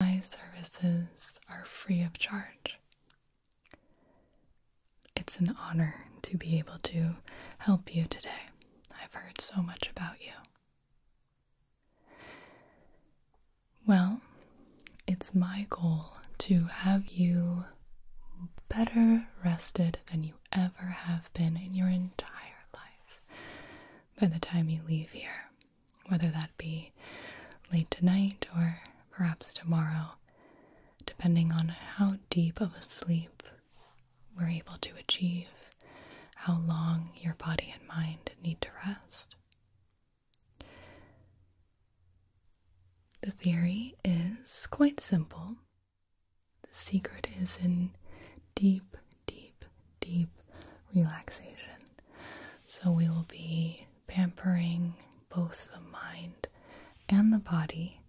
My services are free of charge. It's an honor to be able to help you today. I've heard so much about you. Well, it's my goal to have you better rested than you ever have been in your entire life by the time you leave here whether that be late tonight or perhaps tomorrow, depending on how deep of a sleep we're able to achieve, how long your body and mind need to rest. The theory is quite simple. The secret is in deep, deep, deep relaxation. So, we will be pampering both the mind and the body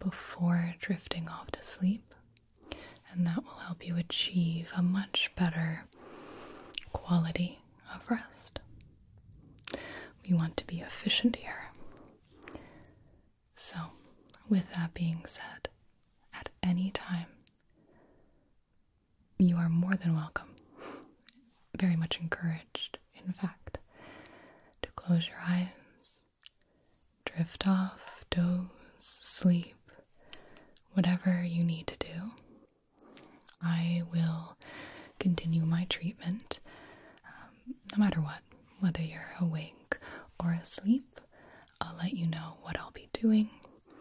before drifting off to sleep, and that will help you achieve a much better quality of rest. We want to be efficient here. So, with that being said, at any time, you are more than welcome, very much encouraged, in fact, to close your eyes, drift off, doze, sleep, whatever you need to do. I will continue my treatment um, no matter what, whether you're awake or asleep. I'll let you know what I'll be doing,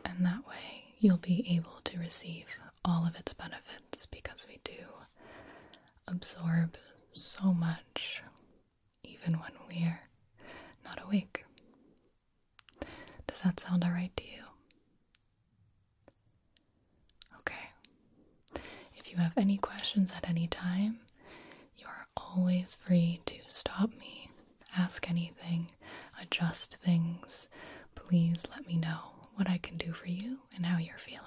and that way you'll be able to receive all of its benefits because we do absorb so much even when we're not awake. Does that sound alright to you? Okay. If you have any questions at any time, you are always free to stop me, ask any adjust things, please let me know what I can do for you and how you're feeling.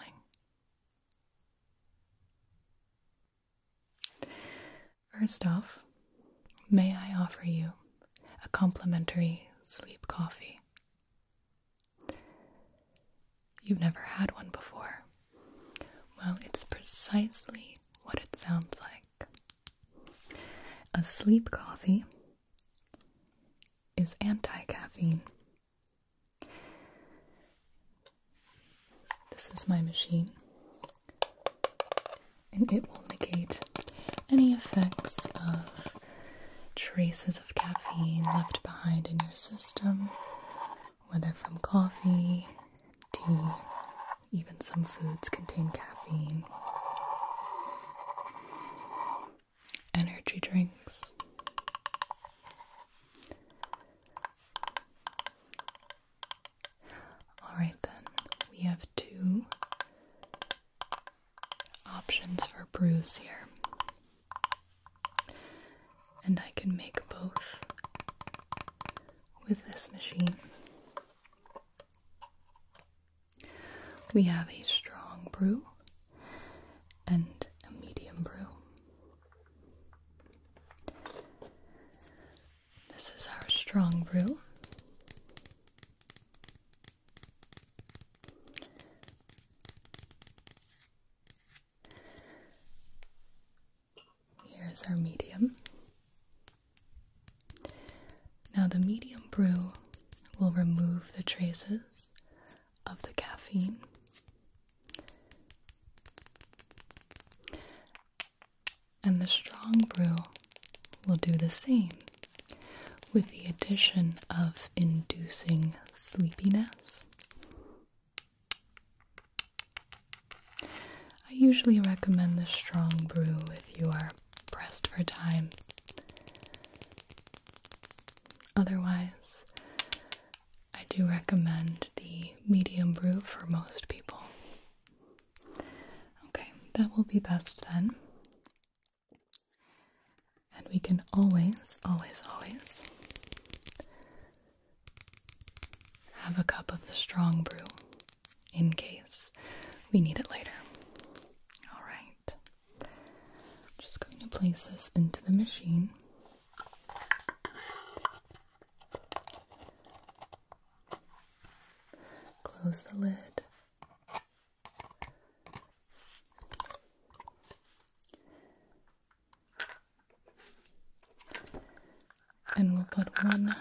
First off, may I offer you a complimentary sleep coffee? You've never had one before. Well, it's precisely what it sounds like. A sleep coffee is anti caffeine. This is my machine, and it will negate any effects of traces of caffeine left behind in your system, whether from coffee, tea, even some foods contain caffeine energy drinks. Alright, then we have two options for brews here, and I can make both with this machine. We have a strong brew and a medium brew. This is our strong brew. Here's our medium. Now, the medium brew will remove the traces of the caffeine. And the strong brew will do the same with the addition of inducing sleepiness. I usually recommend the strong brew if you are pressed for time. Otherwise, I do recommend the medium brew for most people. Okay, that will be best then. And we can always, always, always have a cup of the strong brew in case we need it later. All right. I'm just going to place this into the machine. Close the lid. And we'll put one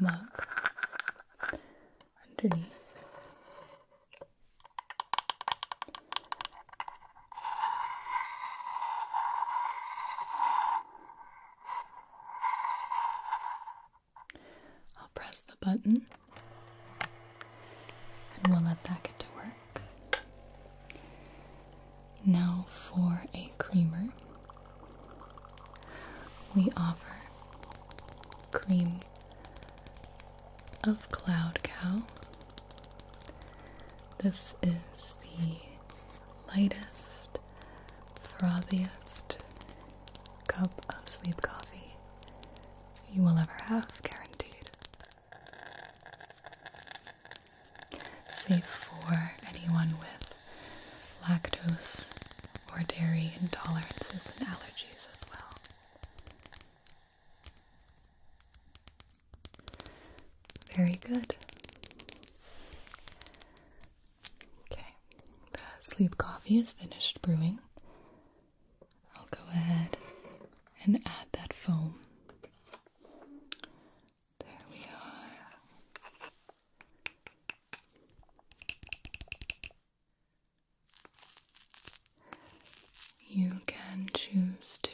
mug underneath. I'll press the button and we'll let that get to work. Now, for a creamer, we offer cream of Cloud Cow. This is the lightest, frothiest cup of sleep coffee you will ever have, guaranteed. Safe for anyone with lactose or dairy intolerances and allergies as well. Very good. Okay, the sleep coffee is finished brewing. I'll go ahead and add that foam. There we are. You can choose to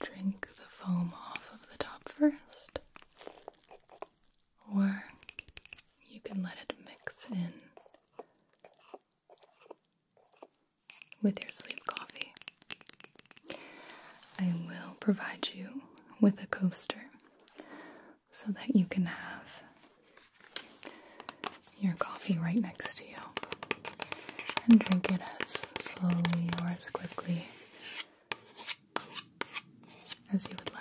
drink the foam off of the top first, or you can let it mix in with your sleep coffee. I will provide you with a coaster so that you can have your coffee right next to you and drink it as slowly or as quickly as you would like.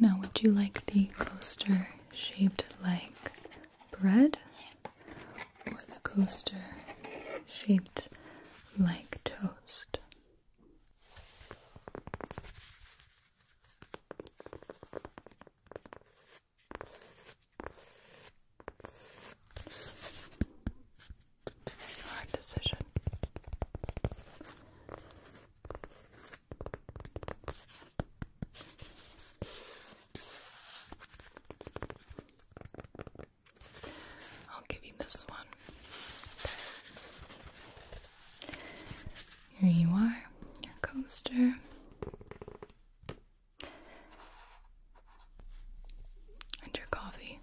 Now, would you like the coaster shaped like bread or the coaster shaped like toast? Hard decision. I'll give you this one. Here you are, your coaster. And your coffee.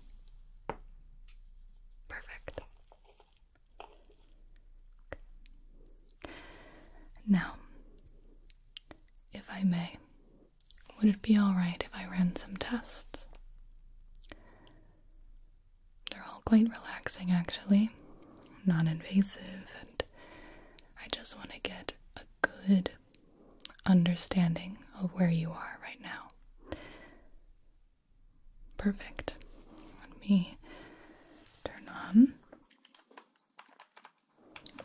Perfect. Now, if I may, would it be alright if I ran some tests? They're all quite relaxing, actually, non invasive, and I just want to get a good understanding of where you are right now. Perfect. Let me turn on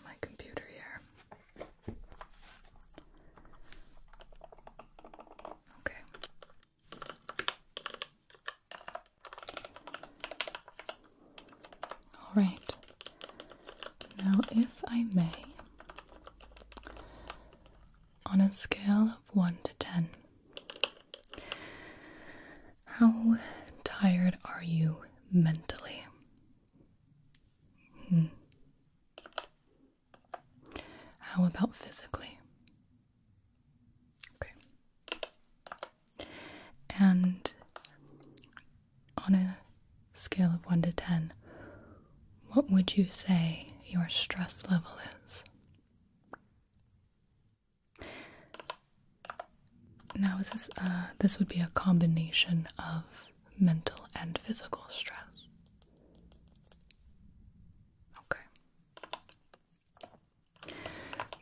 my computer here. Okay. All right. Now, if I may, on a scale of 1 to 10, how tired are you mentally? Hmm. How about physically? Okay. And on a scale of 1 to 10, what would you say your stress level is? Now, this uh, this would be a combination of mental and physical stress? Okay.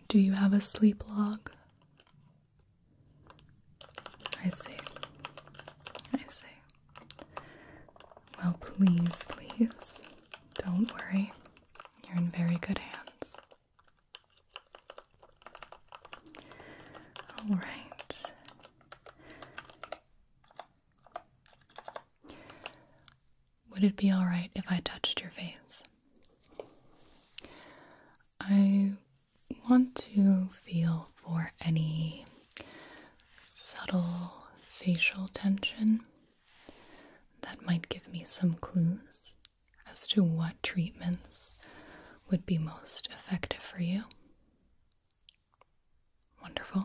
Do you have a sleep log? I see. I see. Well, please, please, don't worry. You're in very good hands. All right. Would it be alright if I touched your face? I want to feel for any subtle facial tension that might give me some clues as to what treatments would be most effective for you. Wonderful.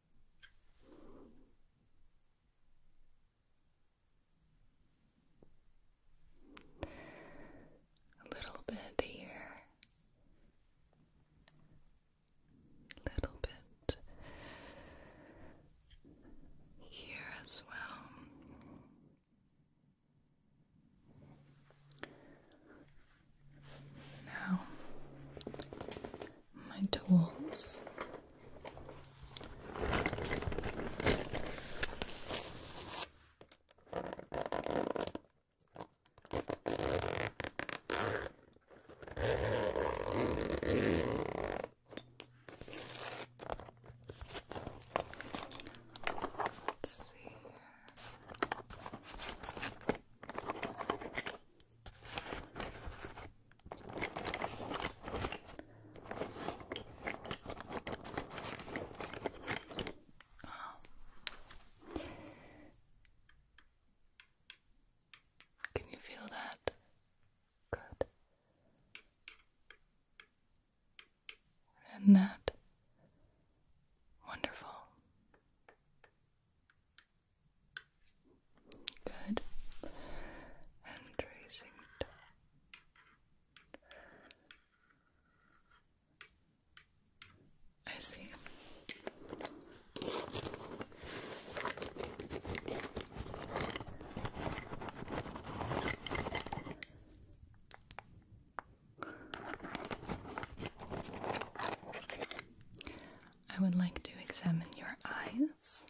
A little bit here, a little bit here as well. Now, my tools. Let's see Oh. Can you feel that? Good. And that. Wonderful. Good. And tracing I see. I would like to examine your eyes.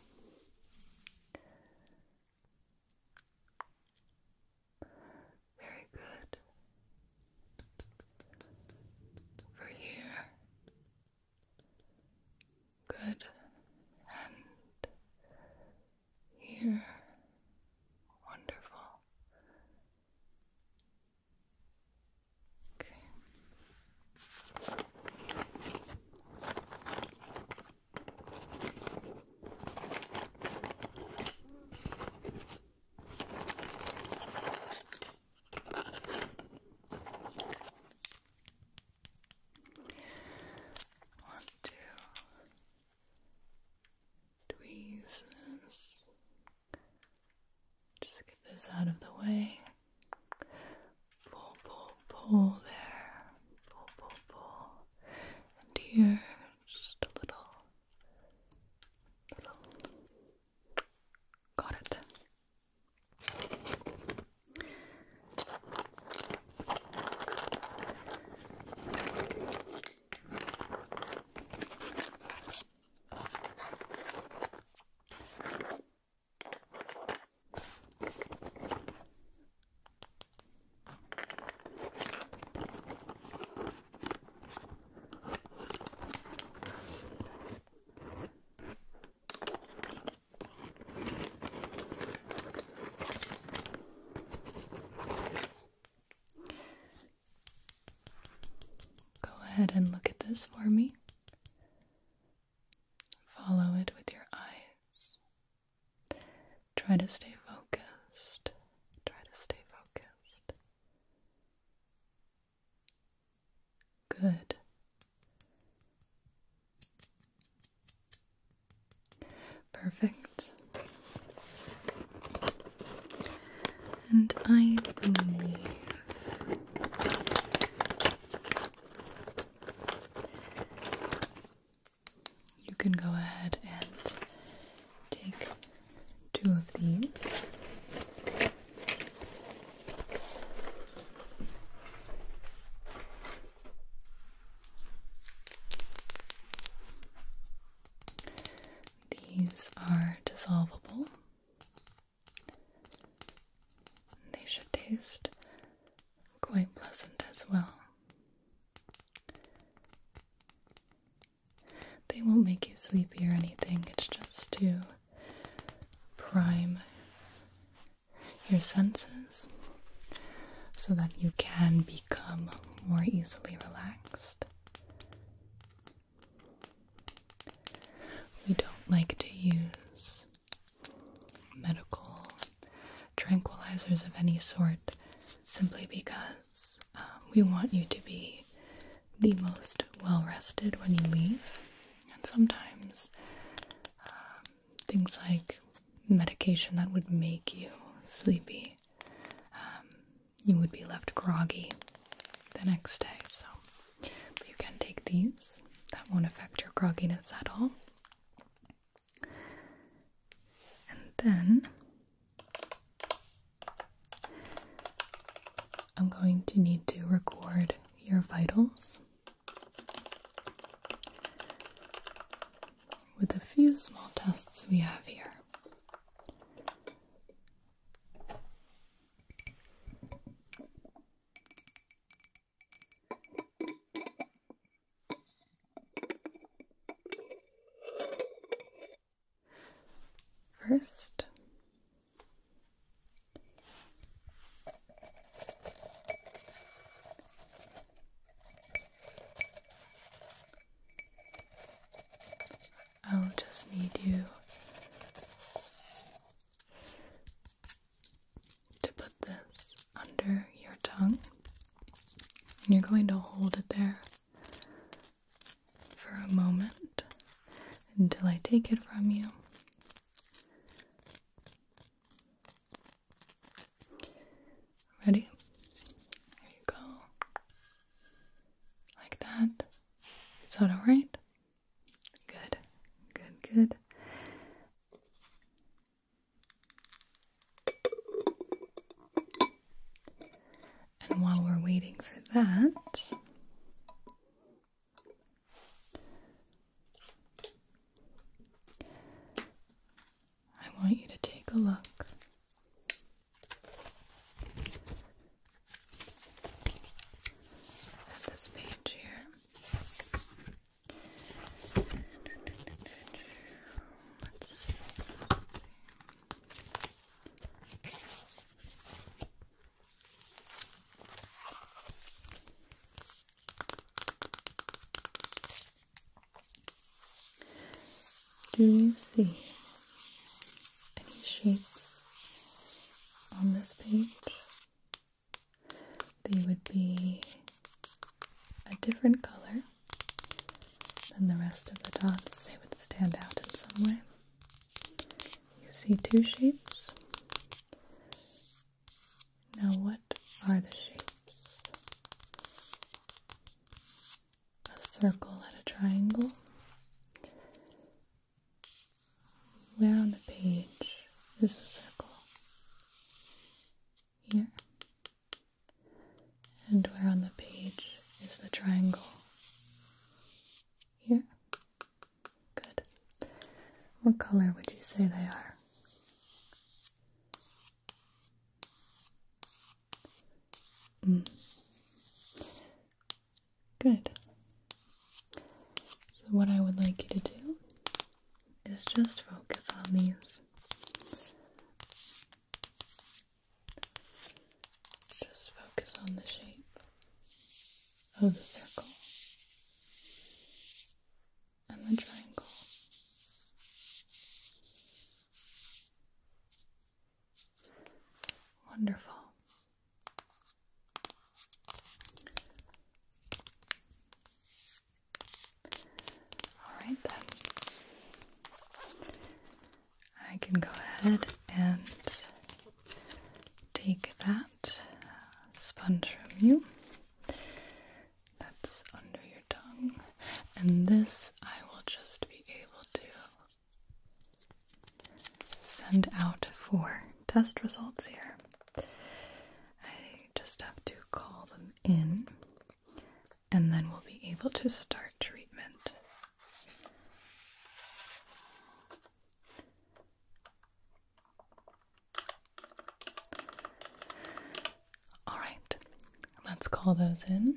Very good. Over here. Good. And here. Wonderful. Okay. Want to just get this out of the way. Pull, pull, pull there. Pull, pull, pull. And here, just a little. Little. Got it. Go ahead and look at this for me. Follow it with your eyes. Try to stay focused. Try to stay focused. Good. Perfect and I believe you can go ahead and take two of these. These are dissolvable. They should taste quite pleasant as well. They won't make you sleepy or anything, it's just to prime your senses so that you can become more easily relaxed. We don't like to use medical tranquilizers of any sort simply because um, we want you to be the most well rested when you leave. And sometimes um, things like medication that would make you sleepy, um, you would be left groggy the next day. So you can take these, that won't affect your grogginess at all. And then I'm going to need to record your vitals with a few small tests we have here. First, I'll just need you to put this under your tongue, and you're going to hold it there for a moment until I take it from you. Ready? There you go. Like that. Is that alright? Good, good, good. And while we're waiting for that, I want you to take a look this page here. Do you see any shapes on this page? they would be a different color than the rest of the dots. They would stand out in some way. You see two shapes. Now, what are the shapes? A circle and a triangle. Where on the page is the circle? Here. And where on the page is the triangle? Here. Good. What color would you say they are? Hmm. Good. So, what I would like you to do is just focus on these. Just focus on the shape of the circle and the triangle. Wonderful. All right, then. I can go ahead and take that sponge from you. That's under your tongue. And this I will just be able to send out for test results here. I just have to call them in and then we'll be able to start treatment. All right, let's call those in.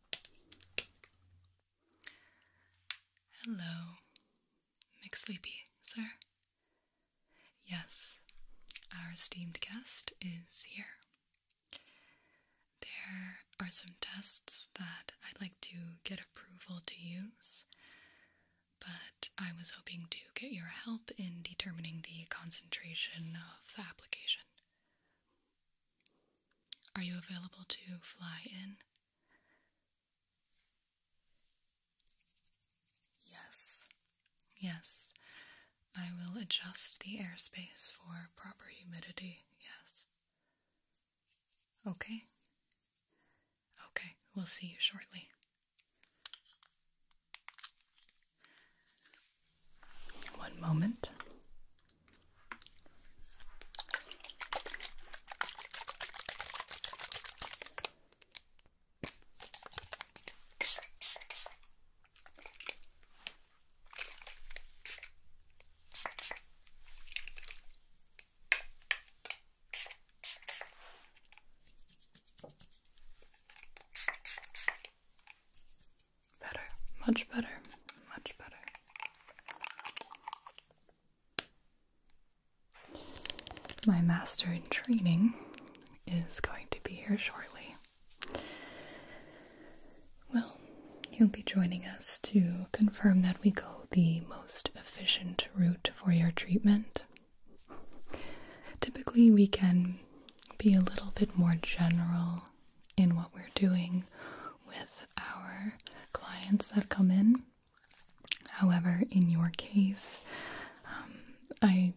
Hello, Sleepy. sir. Yes, our esteemed guest is here. There are some tests that I'd like to get approval to use, but I was hoping to get your help in determining the concentration of the application. Are you available to fly in? Yes, yes. I will adjust the airspace for proper humidity, yes. Okay? Okay, we'll see you shortly. One moment. Better, much better, much better. My master in training is going to be here shortly. Well, he'll be joining us to confirm that we go the most efficient route for your treatment. Typically, we can be a little bit more general in what we're doing with our clients that come in. However, in your case, um, I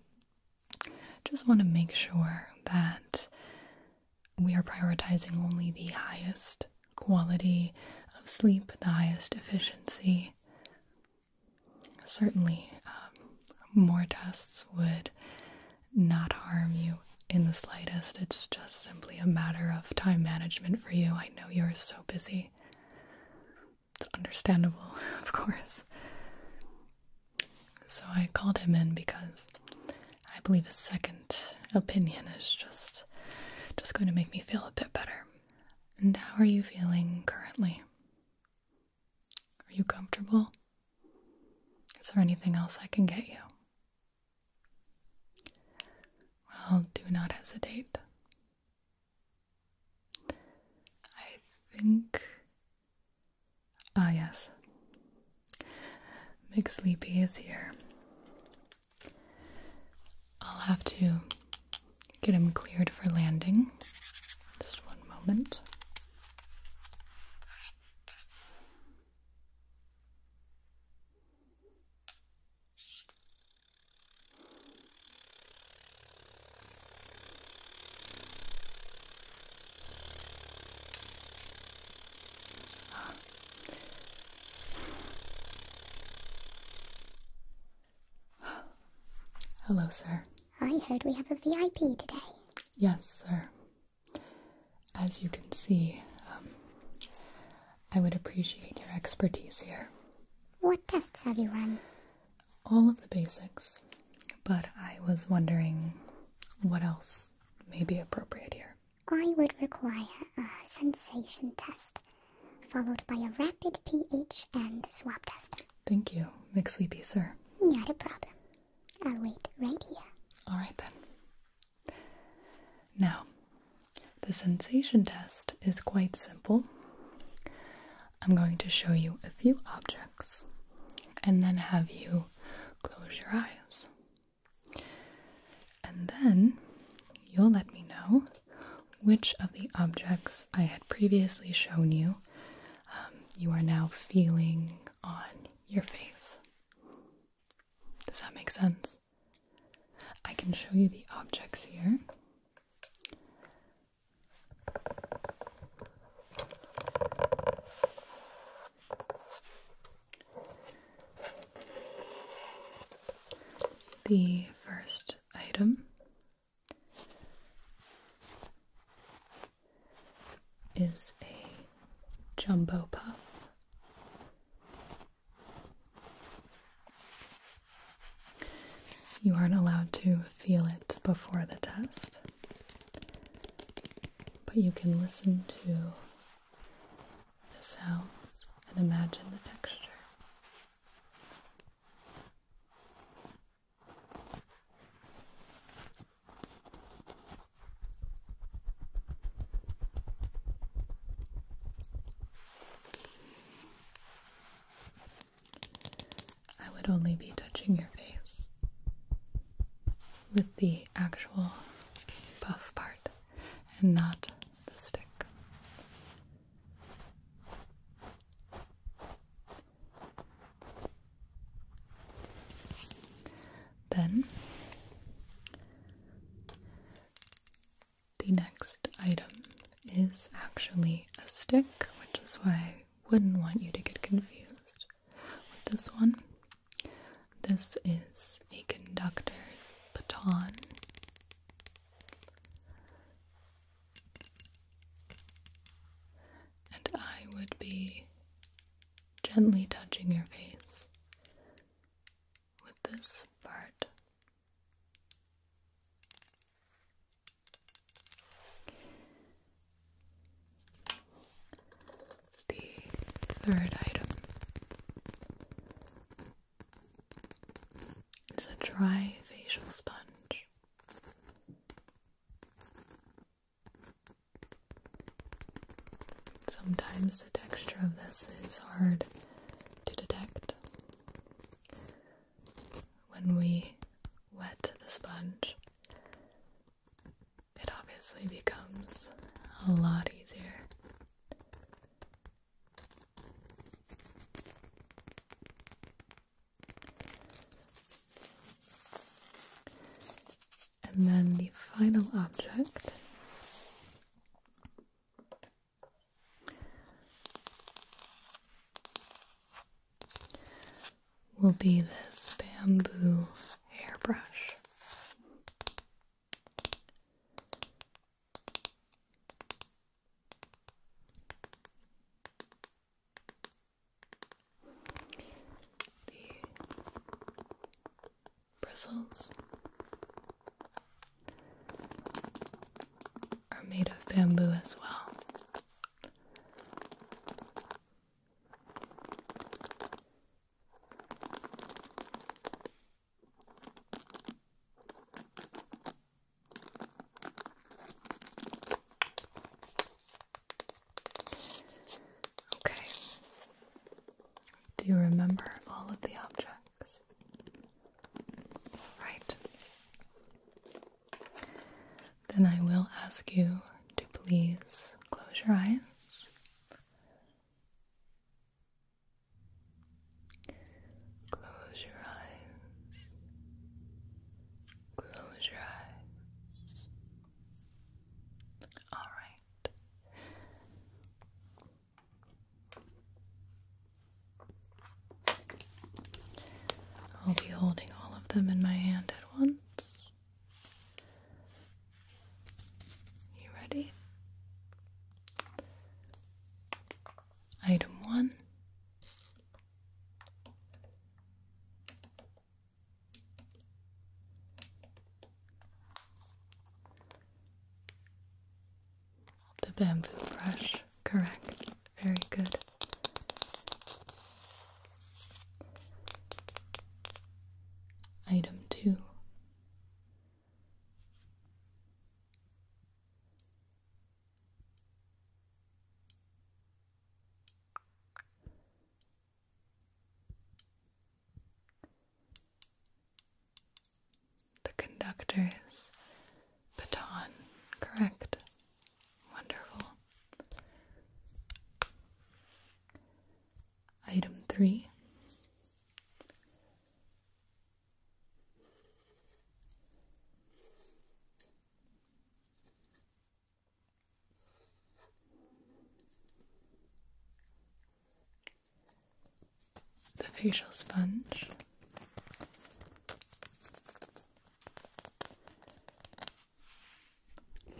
just want to make sure that we are prioritizing only the highest quality of sleep, the highest efficiency. Certainly, um, more tests would not harm you in the slightest. It's just simply a matter of time management for you. I know you're so busy. It's understandable, of course. So I called him in because I believe a second opinion is just just going to make me feel a bit better. And how are you feeling currently? Are you comfortable? Is there anything else I can get you? Well, do not hesitate. I think. Ah, yes. Big Sleepy is here. I'll have to get him cleared for landing. Just one moment. Hello, sir. I heard we have a VIP today. Yes, sir. As you can see, um, I would appreciate your expertise here. What tests have you run? All of the basics, but I was wondering what else may be appropriate here. I would require a sensation test, followed by a rapid pH and swab test. Thank you, Sleepy, sir. Not a problem. I'll wait right here. Alright then. Now, the sensation test is quite simple. I'm going to show you a few objects and then have you close your eyes. And then you'll let me know which of the objects I had previously shown you um, you are now feeling on your face. Does that make sense? I can show you the objects here. The first item is a jumbo puff. You aren't allowed to feel it before the test, but you can listen to the sounds and imagine the texture. I would only be touching your face with the actual puff part and not the stick. Then the next item is actually a stick, which is why I wouldn't want you to get confused with this one. This is a conductor's baton. And I would be gently touching your face with this part. The third item is a dry facial sponge. Sometimes the texture of this is hard to detect. When we wet the sponge, it obviously becomes a lot easier. And then the final object will be this bamboo hairbrush the bristles are made of bamboo as well. Okay. Do you remember all of the objects? Right. Then I will ask you to please close your eyes. Close your eyes. Close your eyes. All right. I'll be holding all of them in my hand at once. You ready? Item one the bamboo brush, correct. Very good. Item two. The conductor's baton, correct? Wonderful. Item three the facial sponge.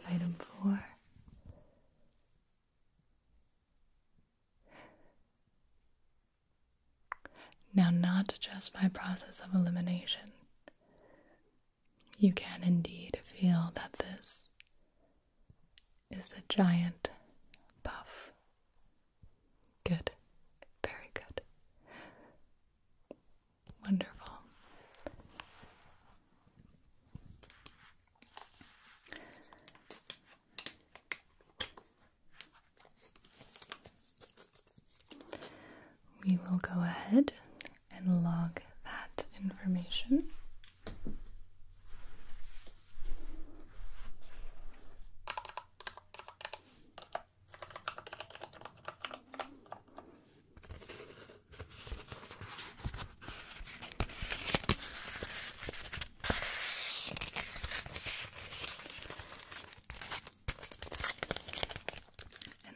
Item four. Now, not just by process of elimination, you can indeed feel that this is a giant puff. Good, very good. Wonderful. We will go ahead and log that information.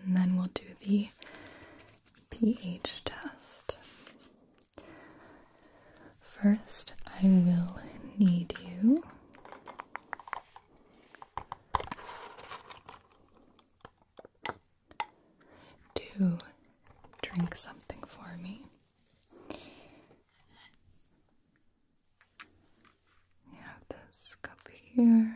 And then we'll do the pH test. First, I will need you to drink something for me. We have this cup here.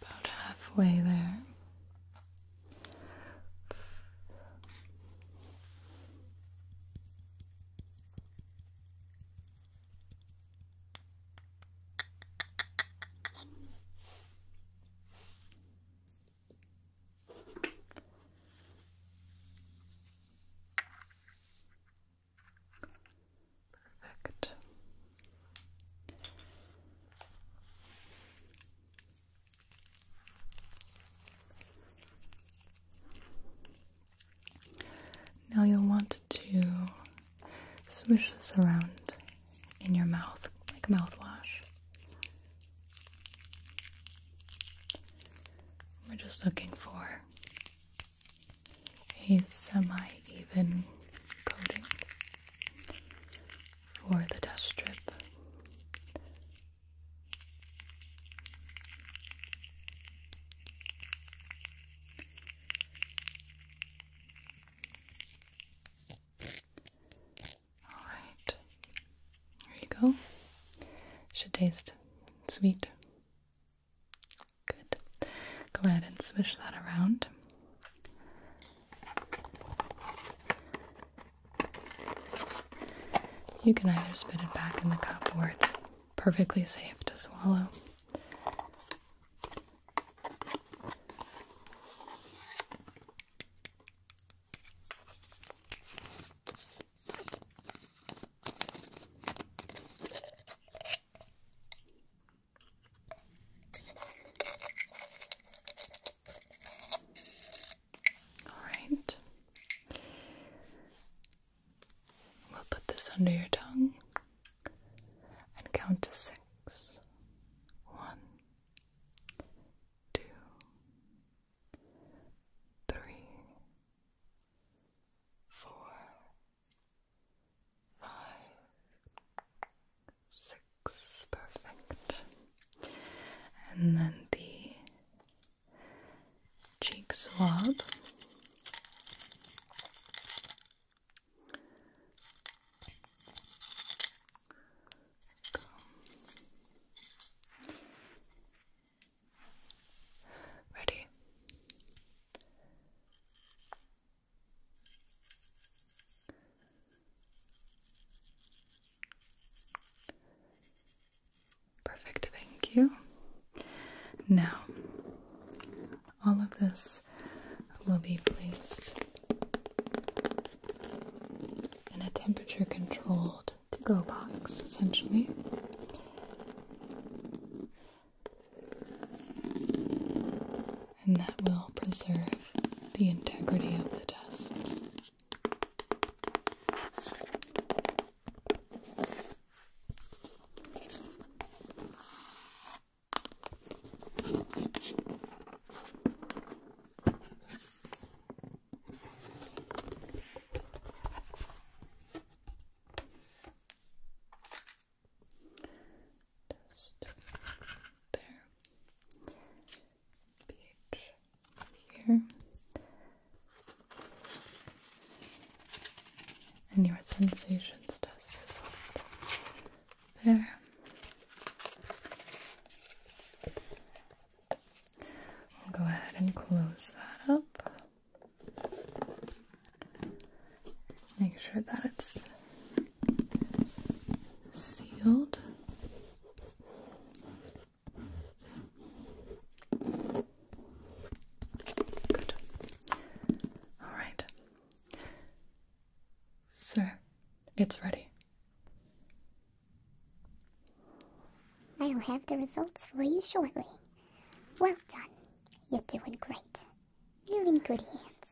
About halfway there. Perfect. Now you'll want to swish this around in your mouth like mouthwash. We're just looking for a semi even coating for the test strip. All right, here you go. Should taste sweet. Good. Go ahead and swish that around. You can either spit it back in the cup where it's perfectly safe to swallow. All right. We'll put this under your tongue and count to six. One, two, three, four, five, six, perfect. And then the cheek swab. Ready. Perfect, thank you. Now, all of this will be placed in a temperature controlled to go box, essentially and that will preserve the integrity of the dust. Just there. Page here. And your sensations test result there. We'll go ahead and close that up. Make sure that it's sealed. Good. All right. Sir, it's ready. I'll have the results for you shortly. Well done. You're doing great. You're in good hands.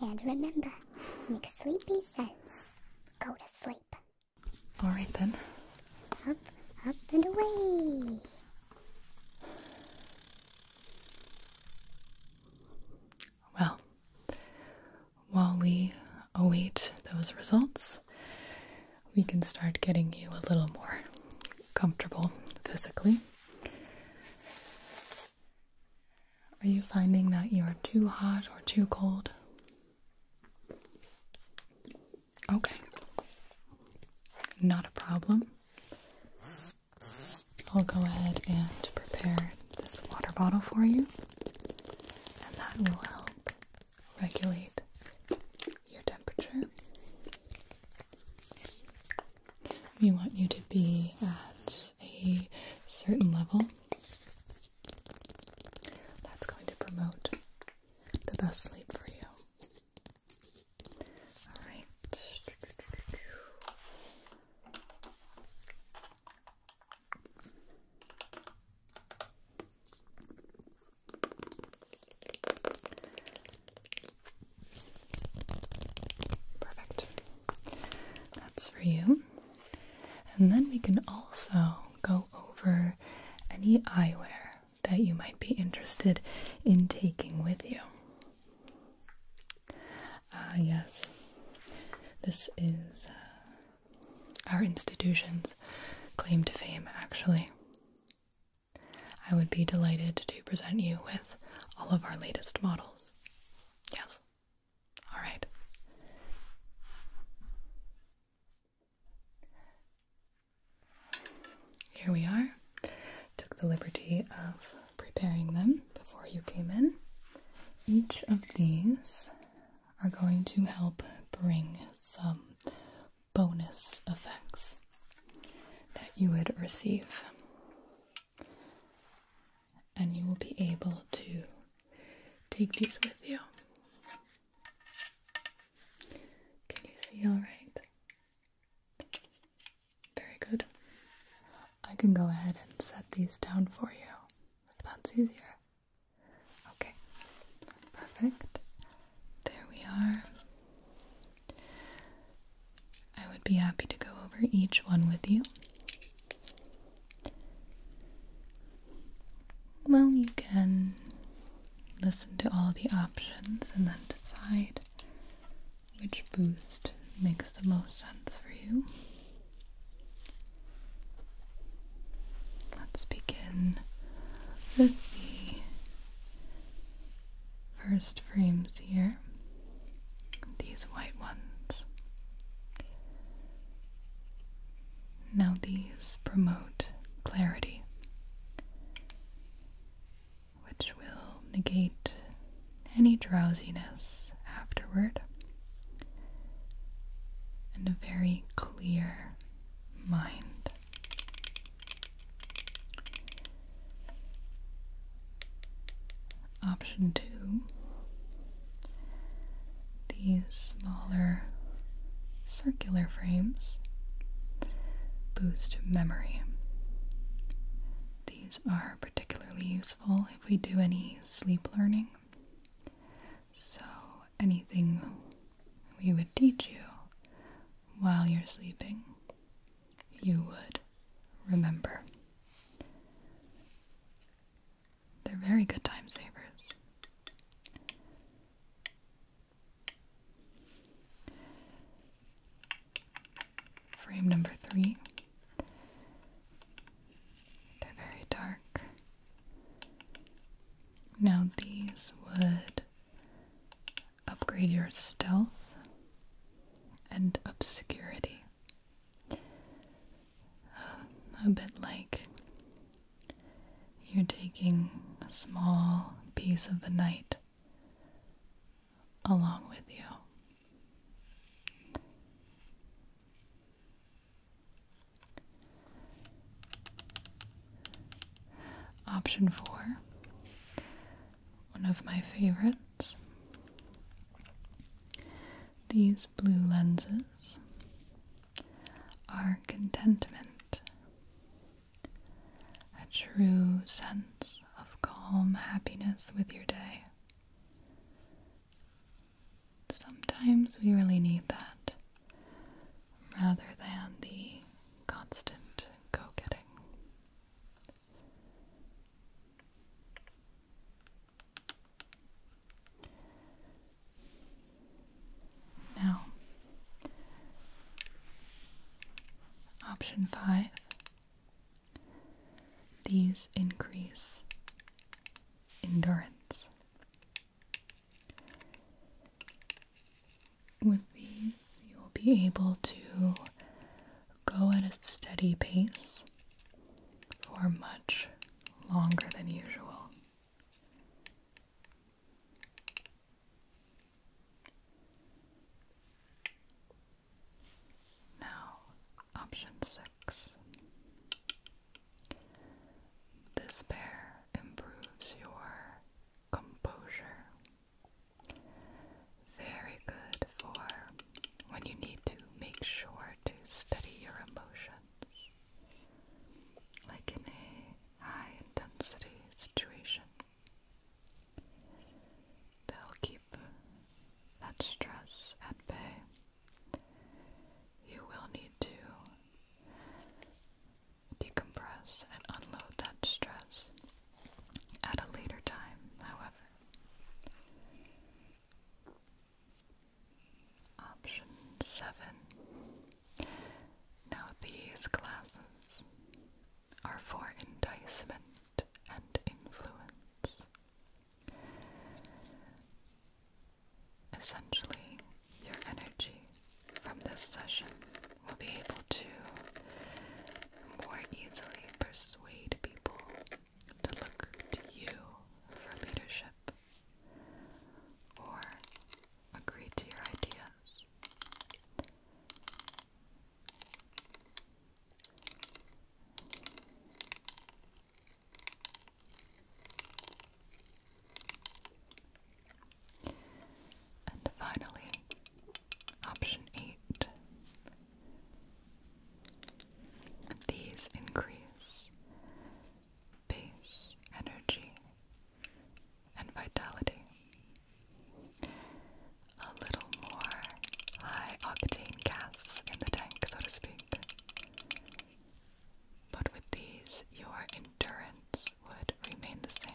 And remember, make sleepy sense. Go to sleep. Alright then. Up, up, and away. Well, while we await those results, we can start getting you a little more comfortable physically. Are you finding that you are too hot or too cold? Okay. Not a problem. I'll go ahead and prepare this water bottle for you, and that will help regulate your temperature. We want you to be at a certain level that's going to promote the best sleep for you. Alright. Perfect. That's for you. And then we can also go over any eyewear that you might be interested in taking with you. Ah, yes. This is uh, our institution's claim to fame, actually. I would be delighted to present you with all of our latest models. Yes. All right. Here we are. Took the liberty of preparing them before you came in. Each of these are going to help bring some bonus effects that you would receive and you will be able to take these with you. Can you see all right? Very good. I can go ahead and set these down for you if that's easier. Okay, perfect. There we are. I would be happy to go over each one with you. Well, you can listen to all the options and then decide which boost makes the most sense for you. Let's begin with the first frames here, these white ones. Now, these promote clarity, which will negate any drowsiness afterward, and a very clear mind option two, these smaller circular frames boost memory. These are particularly useful if we do any sleep learning. So, anything we would teach you while you're sleeping, you would remember. They're very good time savers. Frame number three. They're very dark. Now, these would upgrade your stealth and obscurity a bit like you're taking a small piece of the night along with you. Option four, one of my favorites these blue lenses are contentment, a true sense of calm happiness with your day. Sometimes we really need that rather than the constant go getting. Now, option five these increase endurance. With these, you'll be able to go at a steady pace for much longer than usual. Now, option six. This pair improves your composure. Very good for when you need to make sure to study your emotions, like in a high intensity situation. They'll keep that stress at bay. You will need to decompress and unload that stress at a later time, however. Option 7. Now these classes are for enticement and influence. Essentially, your energy from this session will be able to more easily persuade people to look to you for leadership or agree to your ideas. And finally, option eight these increase base energy and vitality. A little more high octane gas in the tank, so to speak. But with these, your endurance would remain the same.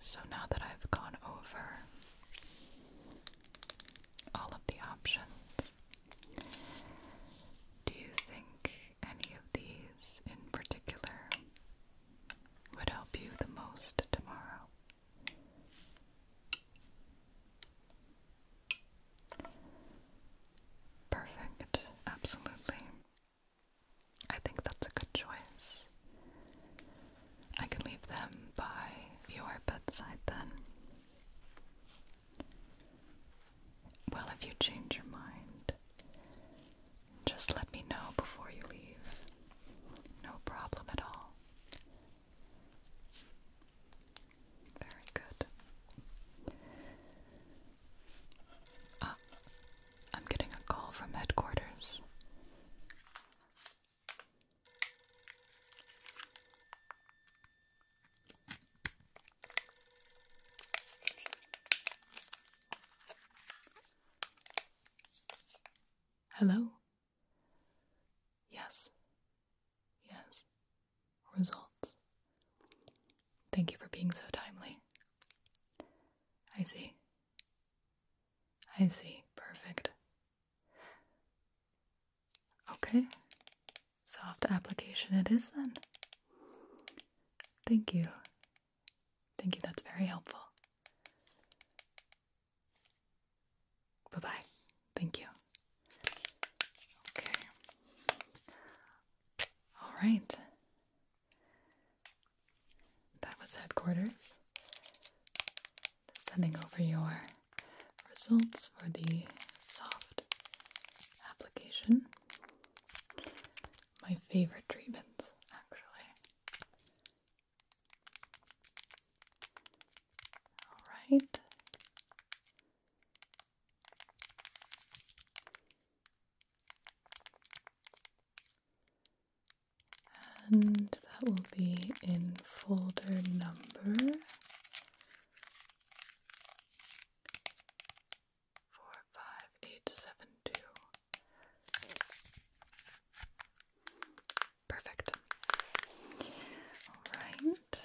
So now that I've gone over all of the options, do you think any of these in particular would help you the most tomorrow? Perfect, absolutely. I think that's a good choice. I can leave them by your bedside then. Well, if you change your mind, just let me know before you leave. No problem at all. Very good. Ah, I'm getting a call from headquarters. Hello? Yes. Yes. Results. Thank you for being so timely. I see. I see. Perfect. Okay. Soft application it is then. Thank you. Thank you. That's very helpful. Bye bye. Thank you. Okay. All right. That was headquarters. Sending over your results for the soft application. My favorite treatments, actually. Alright and that will be in folder number four five eight seven two. Perfect. All right.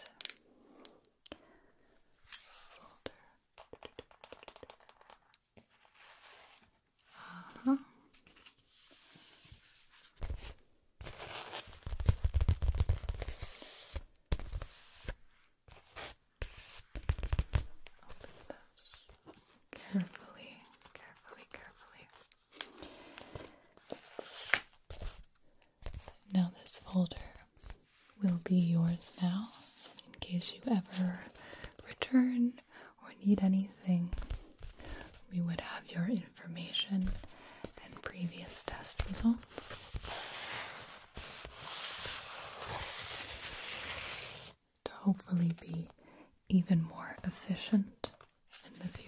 Open those carefully, carefully, carefully. Now, this folder will be yours now in case you ever return or need anything, we would have your information and previous test results. To hopefully be even more efficient in the future.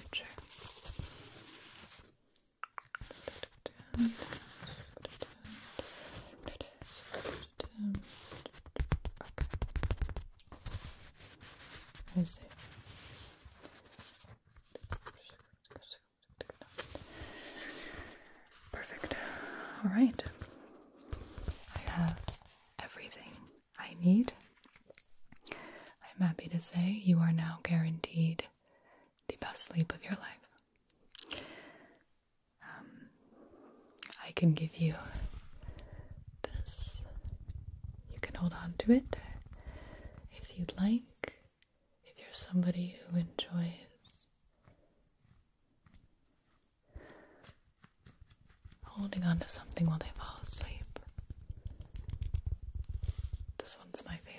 Is it? Perfect. All right. I have everything I need. I'm happy to say you are now guaranteed the best sleep of your life. Um, I can give you this. You can hold on to it if you'd like, if you're somebody who enjoys holding on to something while they fall asleep. This one's my favorite.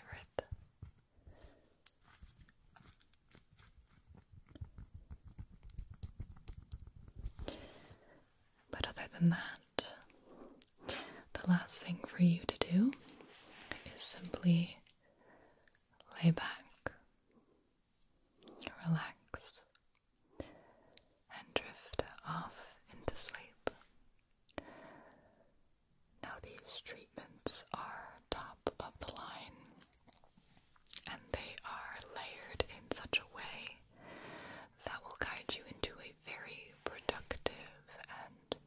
But other than that, the last thing for you to do is simply lay back, relax, and drift off into sleep. Now, these treatments are top of the line and they are layered in such a way that will guide you into a very productive and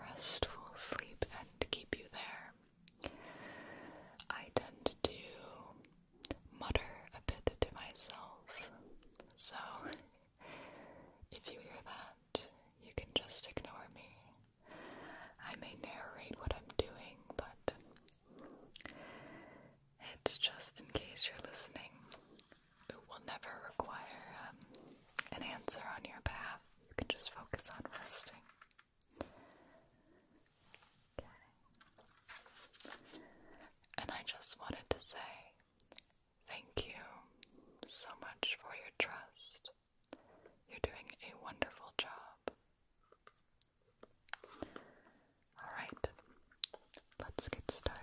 restful sleep and keep you there. I tend to mutter a bit to myself, so if you hear that, you can just ignore me. I may narrate what I'm doing, but it's just in case you're listening. It will never require um, an answer on your behalf. You can just focus on resting. Okay. And I just wanted to say thank you so much for your trust. You're doing a wonderful job. Alright, let's get started.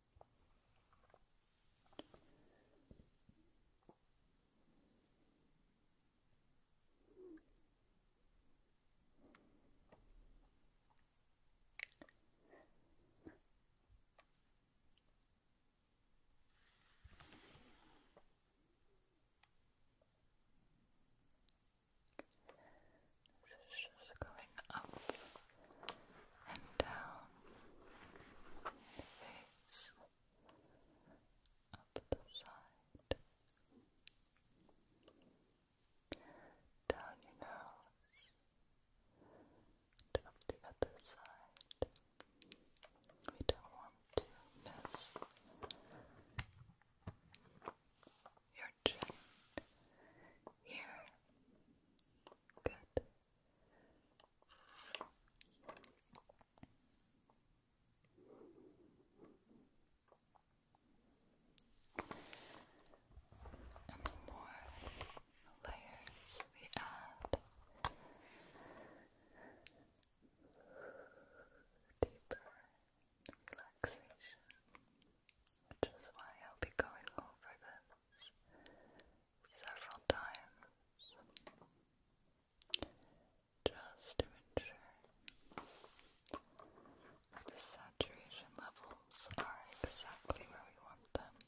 This is just going up and down the face, up the side, down your nose, up the other side. We don't want to miss your chin here. Good. And the more layers we add, deeper relaxation. Which is why I'll be going over this several times just to ensure that the saturation levels are exactly where we want them. Okay.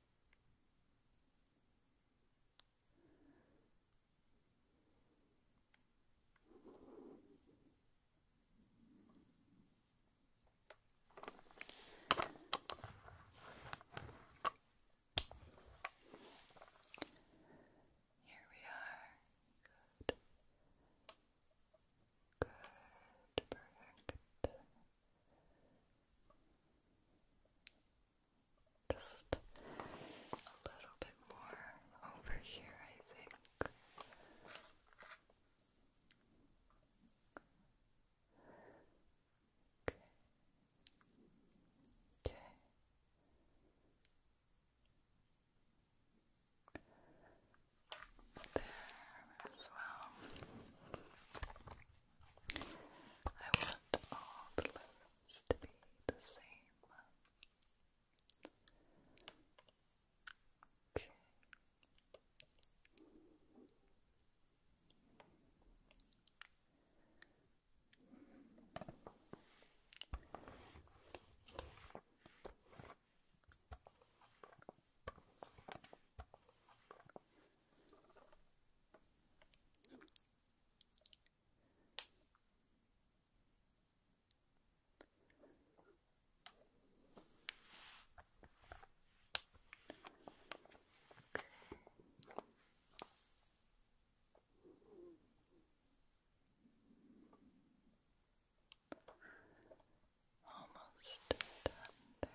Here we are. Good. Good. Perfect. Just a little bit more over here, I think. Okay. Okay. There as well. I want all the letters to be the same. Okay. Almost done there.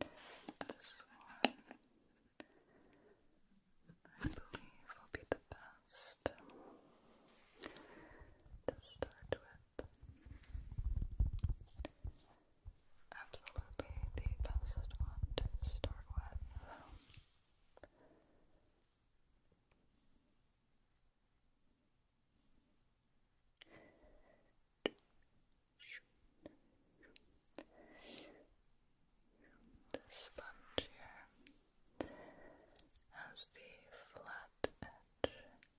This one, I believe, will be the best to start with. Absolutely the best one to start with. The sponge here has the flat edge,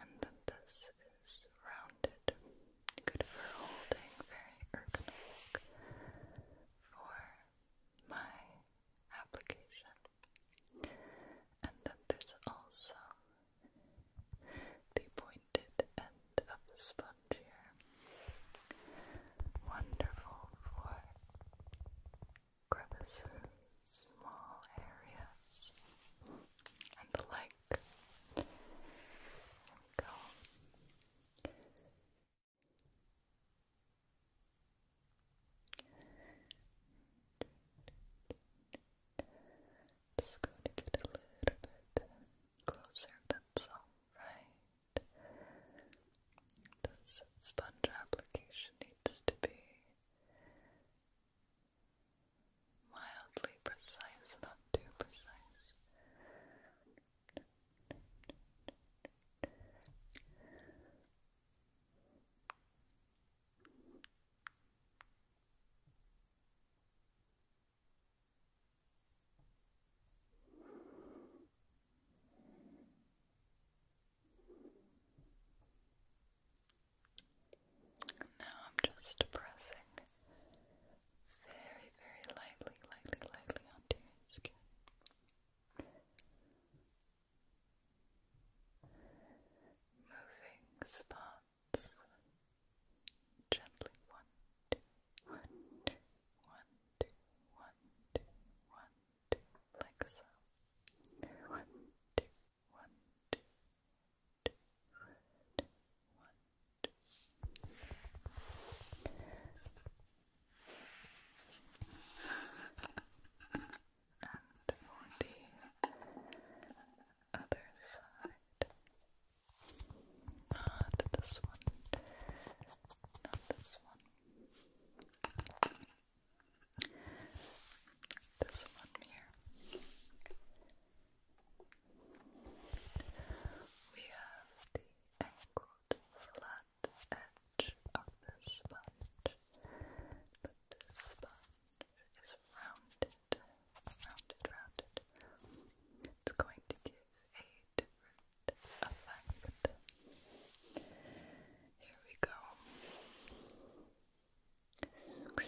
and then this is rounded. Good for holding, very ergonomic for my application. And then there's also the pointed end of the sponge here. Wonderful for crevices, small areas, and the like. go just going to get a little bit closer, that's alright. This sponge application needs to be mildly precise, not too precise. Now I'm just pressing very, very lightly, lightly, lightly onto your skin. Moving spots Gently one, two, one, two, one, two, one, two, one, two, like so. One, two, one, two, two, one, two, one, two. And for the other side. Not this one. Not this one. This one here. We have the angled flat edge of this sponge, but this is rounded, rounded, rounded. It's going to give a different effect. Here we go. You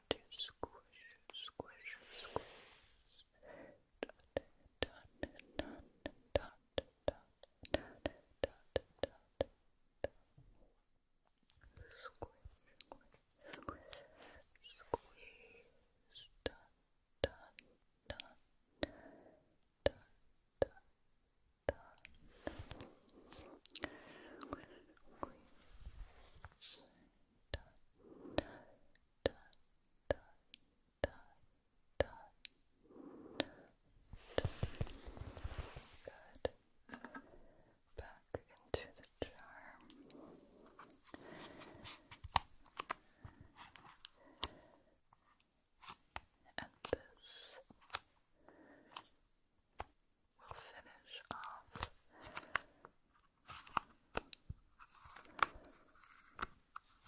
want to squish, squish, squish. Dot, dot, dot, dot, dot, dot, dot, dot, dot. Squish, squish, squeeze. Dot, dot, dot, dot, dot, dot. Good. Back into the jar. And this we'll finish off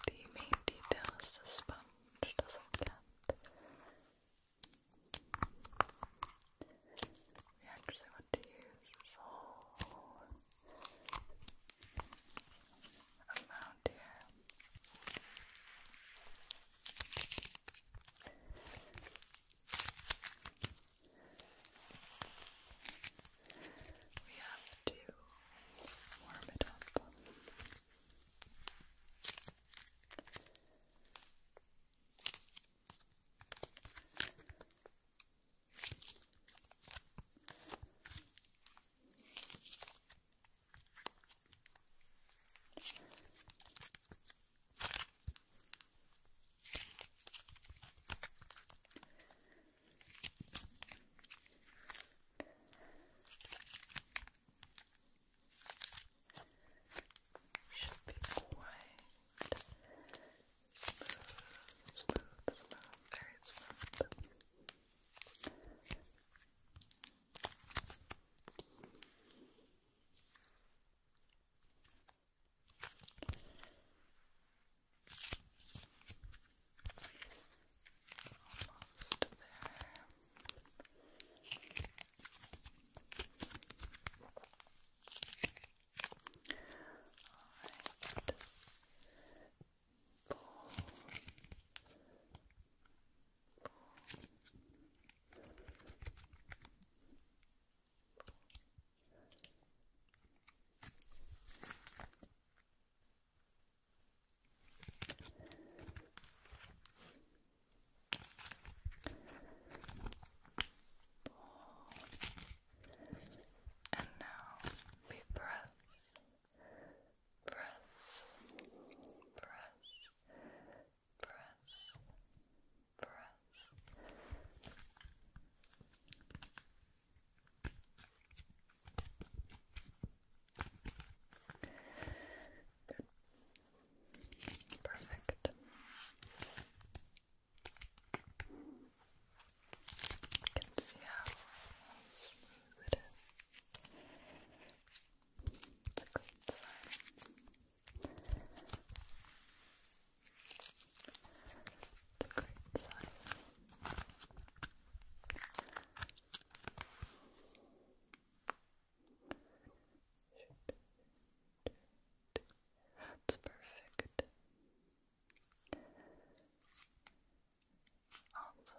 the main detail is the sponge doesn't get we actually want to use this amount here we have to warm it up. Should be quite smooth, smooth, smooth, very smooth. Almost there. Alright. Pull. Pull. And now we press, press, press, press, press. Perfect. can see how smooth it is. It's a good sign. The Great perfect. Awesome.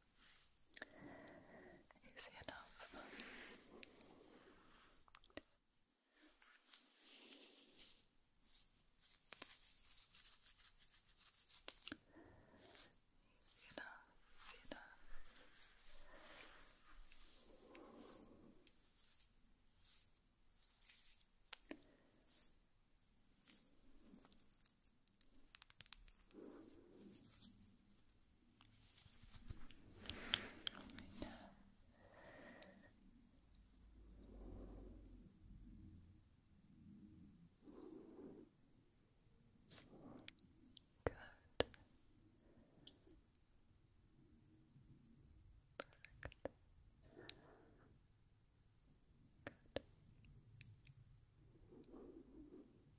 Easy enough. Easy enough, easy enough. Right now. Good. Perfect. Good.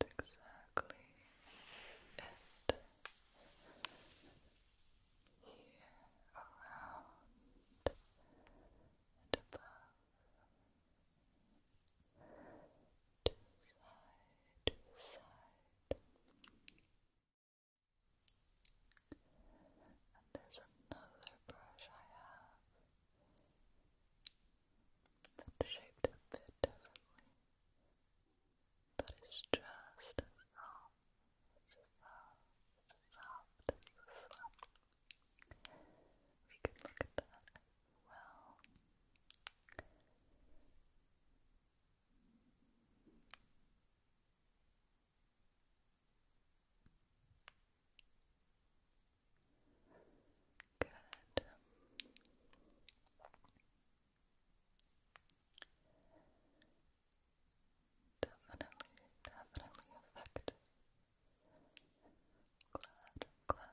exactly it here around and above to side, to side and there's another brush I have that shaped a bit differently, but it's just as soft, soft, soft as this one. look at that well. Good. Definitely, definitely effective. Glad, glad.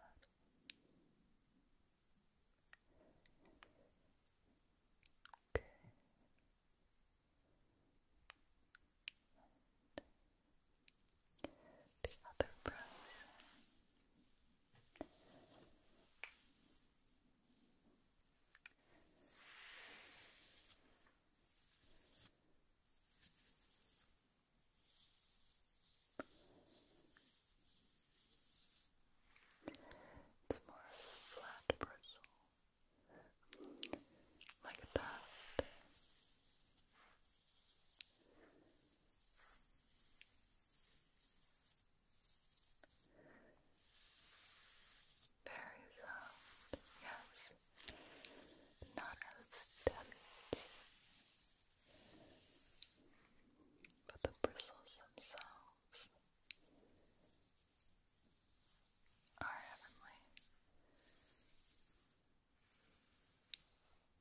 Okay. the other brush. It's more flat bristle, like that. Very soft, yes. Not as dense, but the bristles themselves are heavenly.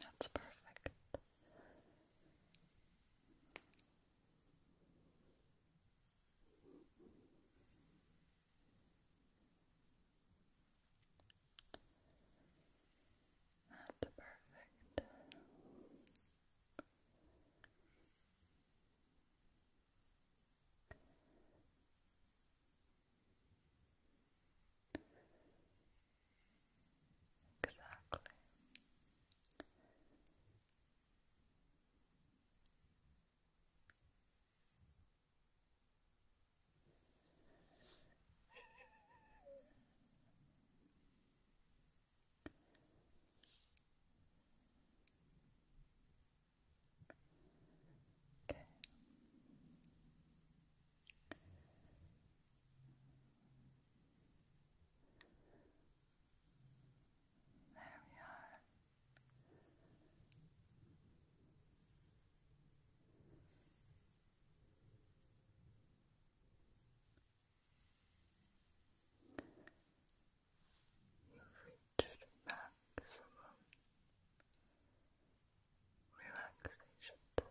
That's perfect. That's perfect. Exactly. Okay. There we are. You've reached maximum relaxation to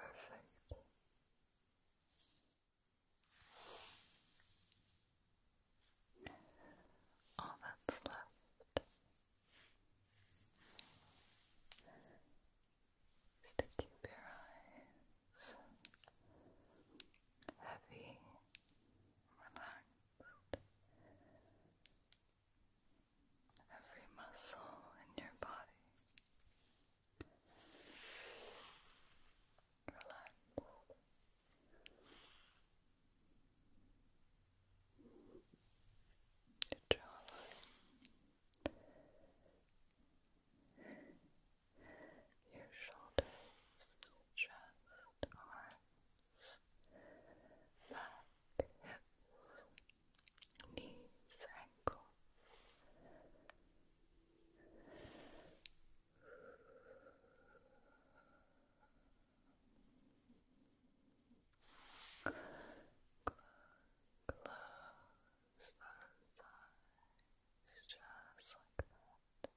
Perfect. All that's left is to keep your eyes heavy, relaxed. Good. Every muscle in your body. Relax. Your jawline. Your shoulders, chest, arms back, hips, knees, ankles. Close, close those eyes just like that.